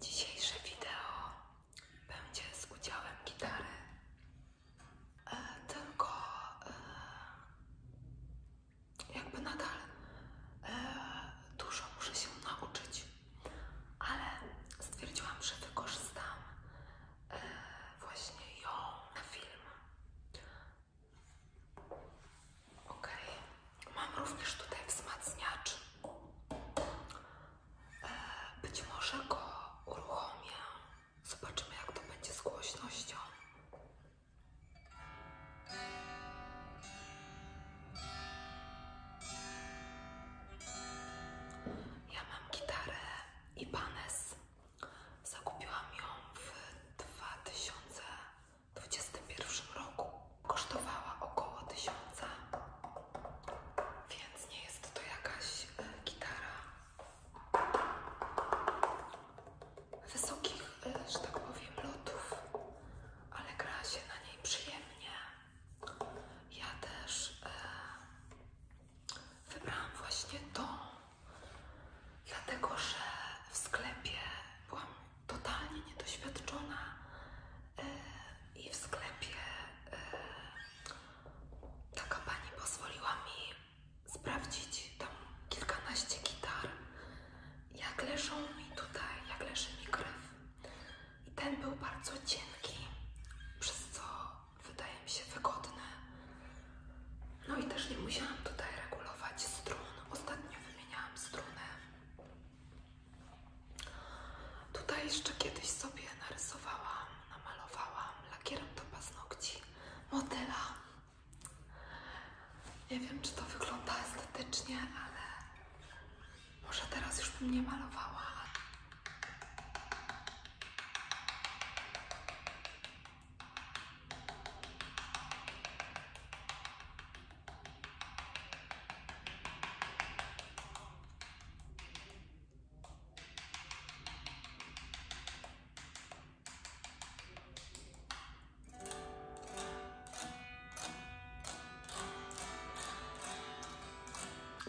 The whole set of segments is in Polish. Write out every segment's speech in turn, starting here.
Dzisiejsze wideo będzie z udziałem gitary, e, tylko e, jakby nadal e, dużo muszę się nauczyć, ale stwierdziłam, że wykorzystam e, właśnie ją na film. Okej. Mam również tutaj wzmacniacz. E, być może go uruchomię. Zobaczymy, jak to będzie z głośnością. Ja mam gitarę Ibanez. Zakupiłam ją w 2021 roku kosztowała około tysiąca, więc nie jest to jakaś e, gitara wysokich, e, że tak powiem, lotów, ale gra się na niej przyjemnie. Ja też e, wybrałam właśnie to, dlatego że w sklepie byłam totalnie niedoświadczona e, i w sklepie e, taka pani pozwoliła mi sprawdzić tam kilkanaście gitar, jak leżą mi tutaj, jak leży mi krew. I ten był bardzo cienki, przez co wydaje mi się wygodny. No i też nie musiałam tutaj regulować strun. Ostatnio wymieniałam struny. Tutaj jeszcze kiedyś sobie narysowałam, namalowałam lakierem do paznokci modela. Nie wiem, czy to wygląda estetycznie, ale może teraz już bym nie malowała.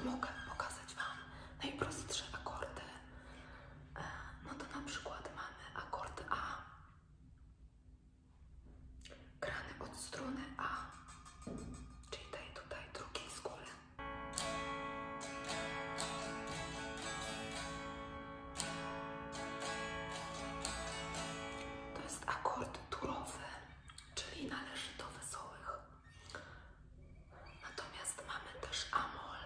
Mogę pokazać Wam najprostsze akordy. E, no to na przykład mamy akord A. Krany od strony A, czyli tej tutaj drugiej z góry. To jest akord turowy, czyli należy do wesołych. Natomiast mamy też amol,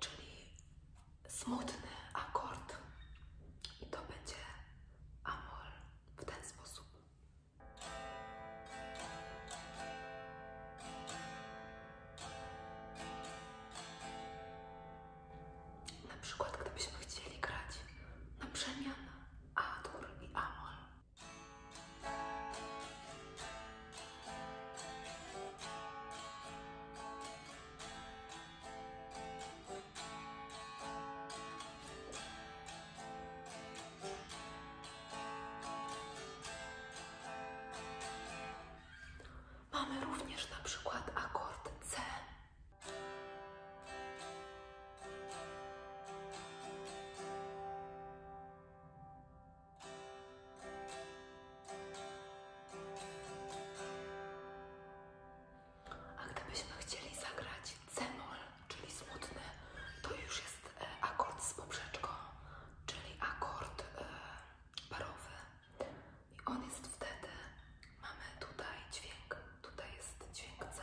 czyli smutny akord i to będzie amol w ten sposób. Na przykład, gdybyśmy chcieli grać na przemian Adur i Amol. Mamy również na przykład akord C. A gdybyśmy chcieli zagrać c czyli smutny, to już jest e, akord z poprzeczką, czyli akord e, parowy. I on jest wtedy, mamy tutaj dźwięk, tutaj jest dźwięk C.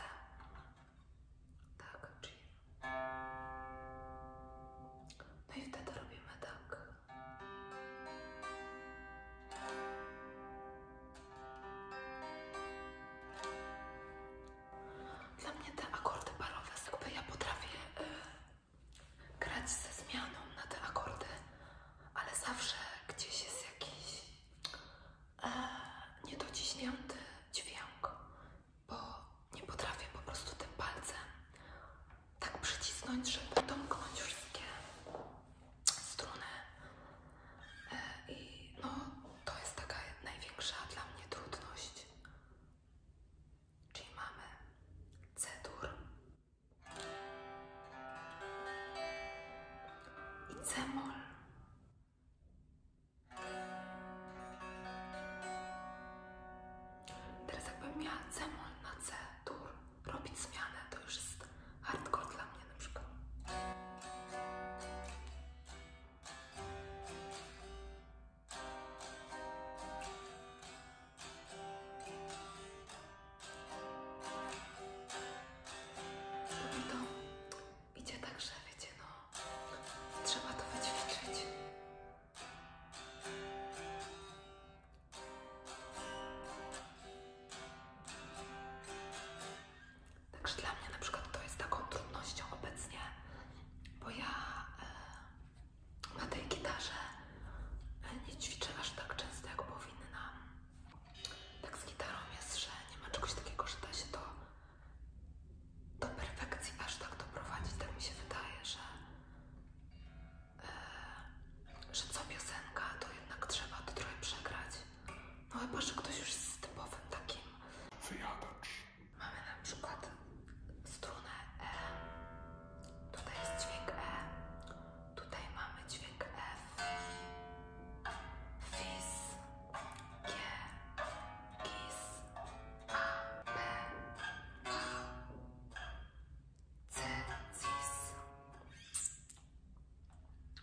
Tak, czyli... No i wtedy robimy tak. Dla mnie te akordy barowe, jakby ja potrafię e, grać ze zmianą na te akordy, ale zawsze gdzieś jest jakiś e, niedociśnięty dźwięk, bo nie potrafię po prostu tym palcem tak przycisnąć, żeby domknąć wszystkie strunę e, i no, to jest taka największa dla mnie trudność. Czyli mamy C-dur i C-mol. Teraz jakbym miała C-mol na C-dur robić zmianę, to już jest hardcore dla mnie na no I to idzie tak, że no trzeba to wyćwiczyć. Także dla mnie na przykład to jest taką trudnością obecnie, bo ja e, na tej gitarze e, nie ćwiczę aż tak często jak powinnam. Tak z gitarą jest, że nie ma czegoś takiego, że da się to do perfekcji aż tak doprowadzić. Tak mi się wydaje, że, e, że co piosenka to jednak trzeba to trochę przegrać. No chyba, że ktoś już jest typowym takim. Wyjadacz. Mamy na przykład strunę E. Tutaj jest dźwięk E. Tutaj mamy dźwięk F. Fis. G. Gis. A. B. A. C. Cis.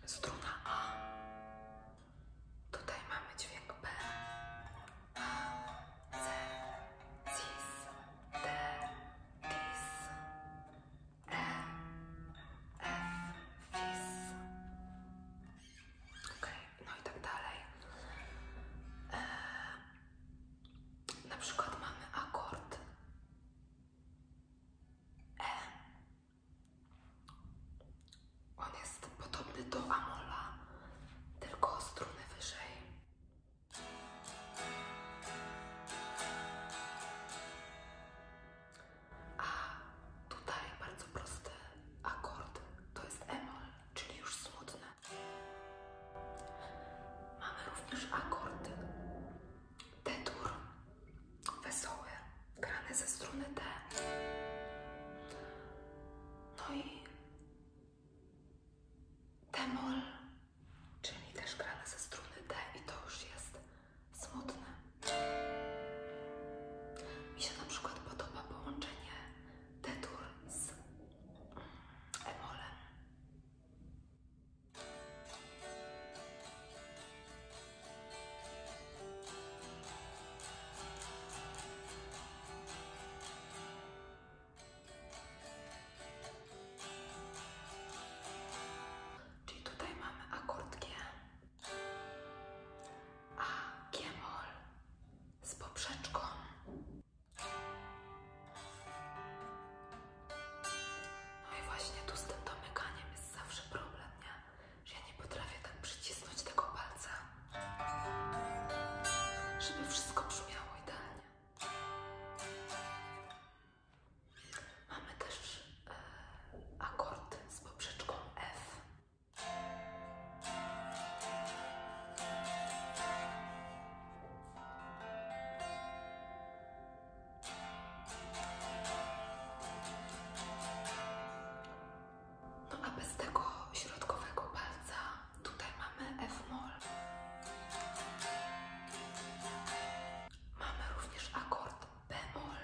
Struna A. Tutaj mamy dźwięk B. A, C, cis, D, dis, E, F, fis. Okay. No i tak dalej. E, na przykład mamy akord e, on jest podobny do Amola, tylko o strunę wyżej. A tutaj bardzo prosty akord to jest Emol, czyli już smutny. Mamy również akord D-dur wesoły, grany ze struny D. No i temol, czyli też grany ze struny D i to już jest smutne. Mi się na przykład podoba połączenie D-dur z emolem. Czyli tutaj mamy akord G, A, Gmol z poprzeczką. No i właśnie tu z tym domykaniem jest zawsze problem, nie? nie potrafię tak przycisnąć tego palca, żeby wszystko brzmiało idealnie. Mamy też e, akord z poprzeczką F. No a bez tego środkowego palca tutaj mamy F-moll. Mamy również akord B-moll.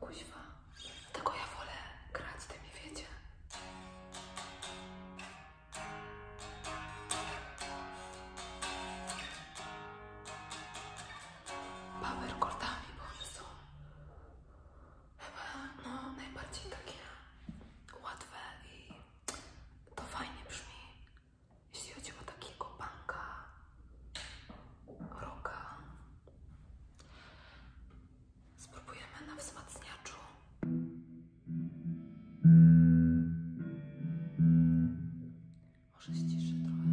Kuźwa. Tego ja wolę grać, tym nie wiecie. Power chordami, bo one są chyba no, najbardziej takie łatwe i to fajnie brzmi. Jeśli chodzi o takiego banka roka. Spróbujemy na wzmacniaczu. Może ściszę trochę.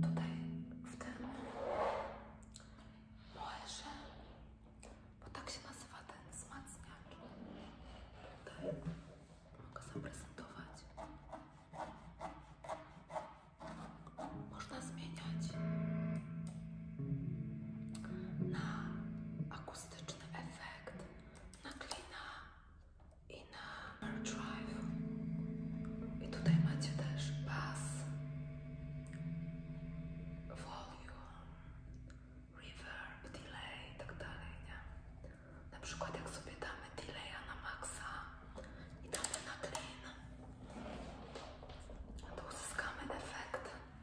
Tutaj w tym moerze, bo tak się nazywa ten wzmacniacz. Tutaj mogę zaprezentować można zmieniać na akustyczny efekt, na klina i na drive. I tutaj macie też bass, volume, reverb, delay i tak dalej, nie? Na przykład jak sobie damy delay na maksa i damy na clean, to uzyskamy efekt